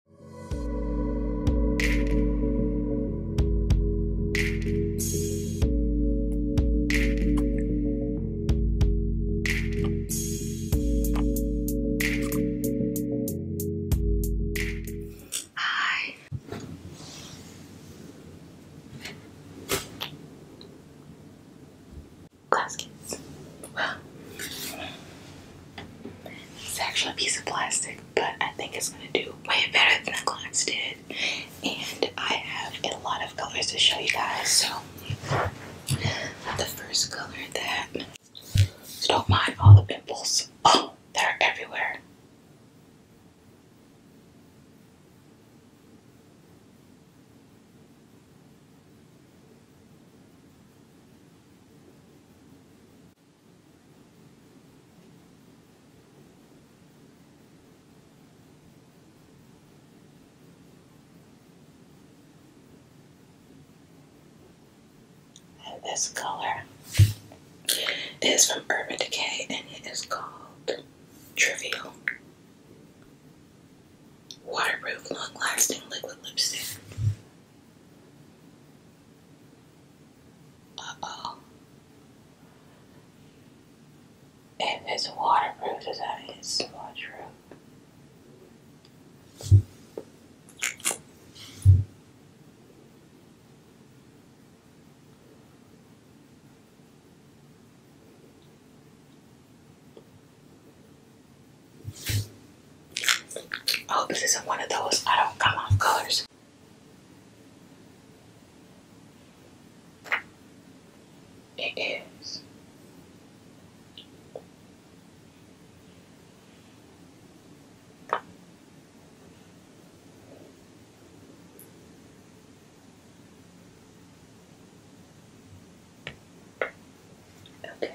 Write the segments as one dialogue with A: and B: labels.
A: Hi. Glass it's actually a piece of plastic, but I think it's going to do way better than the glass did. And I have a lot of colors to show you guys. So, the first color that. So don't mind all the pimples. Oh, they're everywhere this color is from Urban Decay and it is called Trivial Waterproof Long Lasting Liquid Lipstick. Uh oh. If it's waterproof, does that mean it's waterproof? I oh, hope this isn't one of those I don't come off colors. It is. Okay.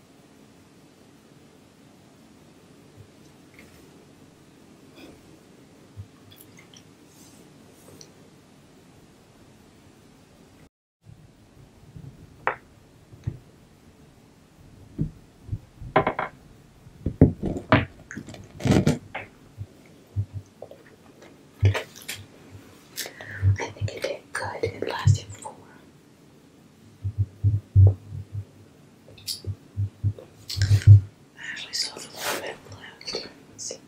A: I think it did good. It lasted for I actually saw a little bit left. let see.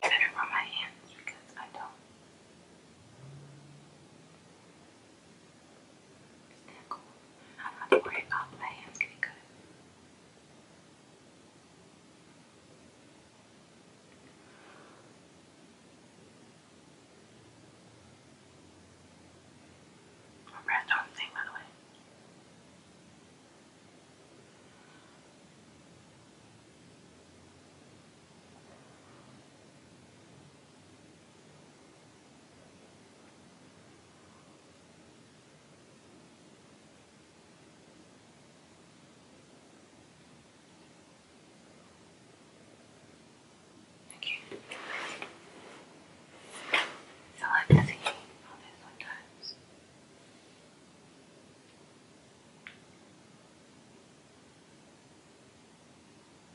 A: Better on my hands because I don't yeah, cool. I've to worry about my hands getting cut. My breath's on the by the way. Okay. So I'm busy on this sometimes.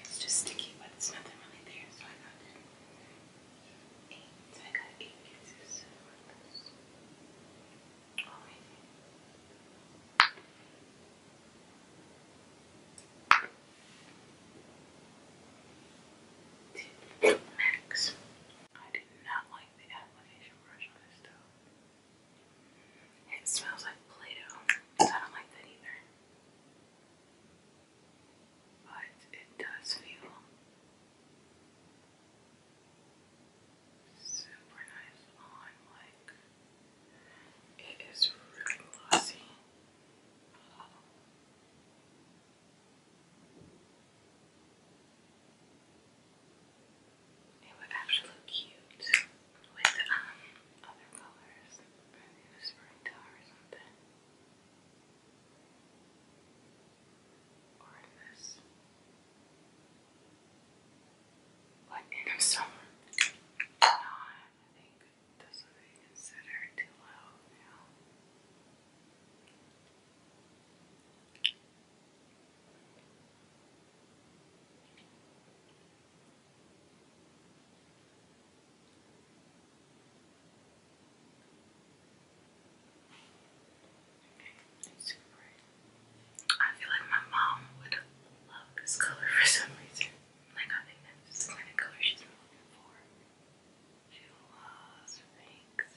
A: It's just sticky, but it's nothing really there, so I got Eight. So I got eight pieces. Alright. I did not like the application brush on this stove. It smells like Play-Doh. I don't like that either but it does feel super nice on. Like it is really glossy. it would actually look cute with um other colors. Maybe the spring or something. Or in this. Lightning of summer. No, I think this would be considered too low now. It's super I feel like my mom would love this color for some reason. Like I think that's the kind of color she looking for. She loves pinks.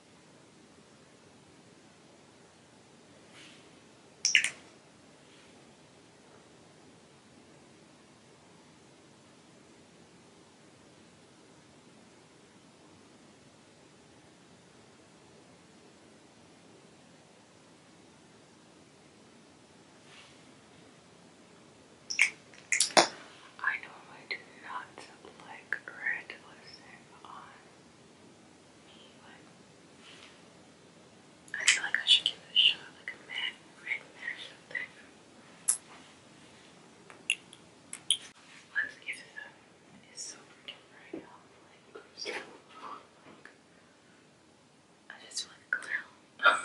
A: I normally do not like red lipstick on I feel like I should give it a shot, like a mad red mash Let's give it a it's so freaking bright out, I just feel like a okay.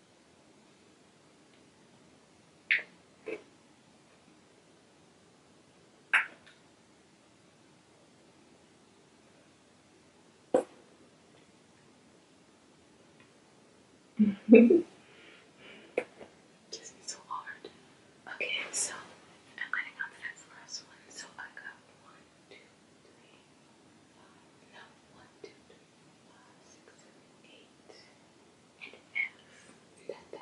A: Just be so hard. Okay, so I'm letting on that first one. So I got one, two, three, five six, seven, eight, and F, that F.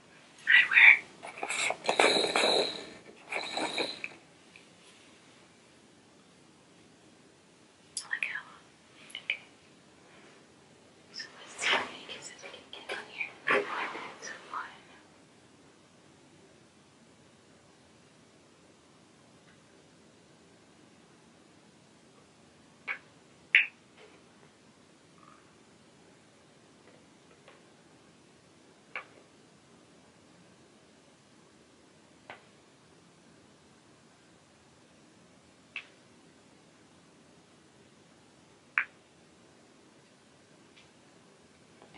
A: eyewear. I like how long. Okay. So let's see how many we can get on here. That's one.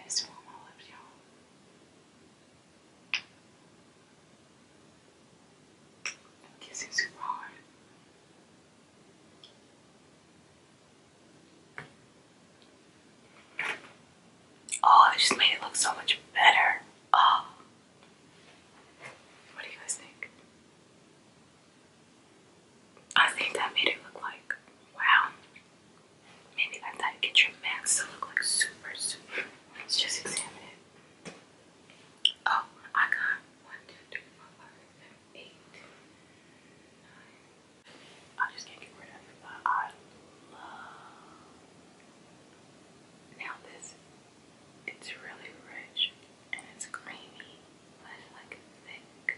A: It's warm all over y'all. Kissing super hard. Oh, I just made it look so much better. Oh. What do you guys think? I think that made it look like, wow. Maybe like that get your max to look like super, super. Let's just examine it. Oh, I got 1, I just can't get rid of it, I love. Now this, it's really rich and it's creamy, but it's like thick.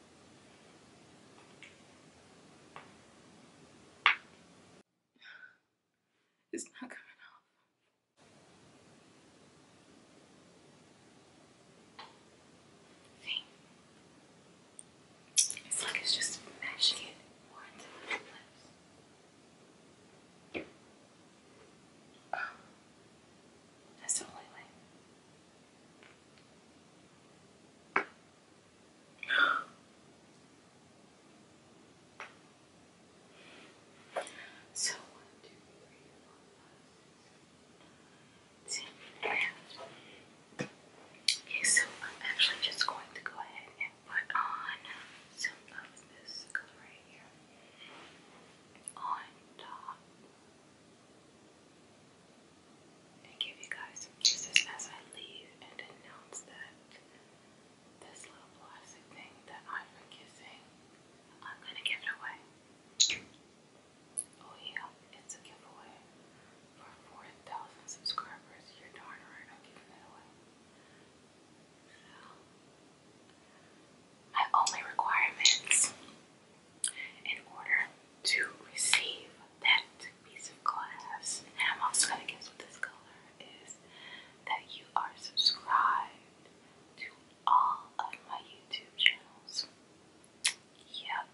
A: It's not coming off. See? It's like just mashing it into my lips. Oh. That's the only way. So one, two, three, four, five, six, seven, eight. Okay, so I'm actually just going to go ahead and put on some of this color right here on top and give you guys some kisses as I leave and announce that this little plastic thing that I've been kissing, I'm gonna give it away. Oh yeah, it's a giveaway. For 4,000 subscribers, you're darn right I'm giving it away. So, my only requirements in order to receive that piece of glass. And I'm also going to guess what this color is that you are subscribed to all of my YouTube channels. Yep.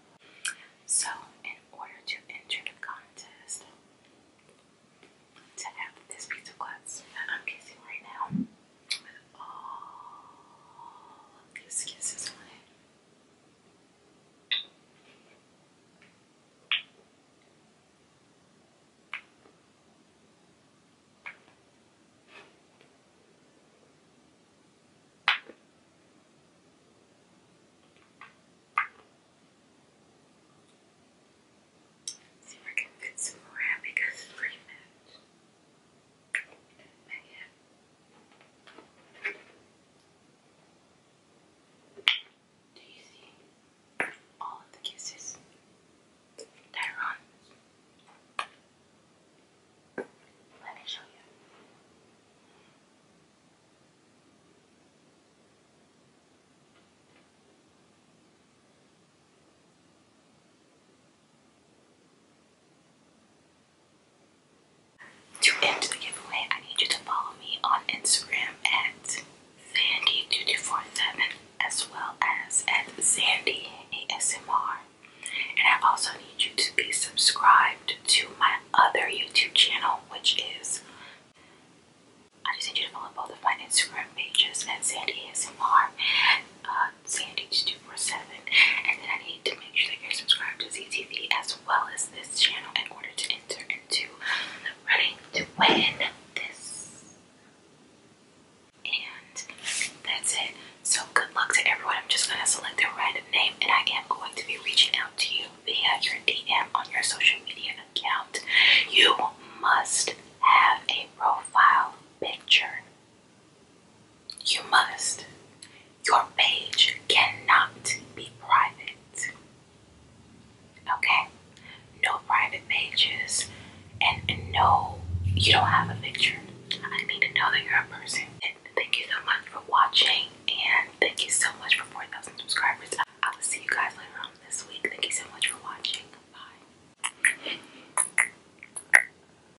A: So, in order to enter the contest, to have this piece of glass that I'm kissing right now with all of kisses on it. See if I can fit some more in because it's pretty much back Do you see all the kisses? They're on. Let me show you. To end the giveaway, I need you to follow me on Instagram at Sandy2247 as well as at Sandy ASMR. And I also need you to be subscribed to my other YouTube channel, which is I just need you to follow both of my Instagram pages at Sandy ASMR. Uh, Sandy247, and then I need to make sure that you're subscribed to ZTV as well as this channel in order to enter into running to win this. And that's it. So good luck to everyone. I'm just gonna select their random name and I am going to be reaching out to you via your DM on your social media account. You must have a profile picture you must. Your page cannot be private. Okay? No private pages and no, you don't have a picture. I need to know that you're a person. And thank you so much for watching and thank you so much for 4,000 subscribers. I will see you guys later on this week. Thank you so much for watching. Bye.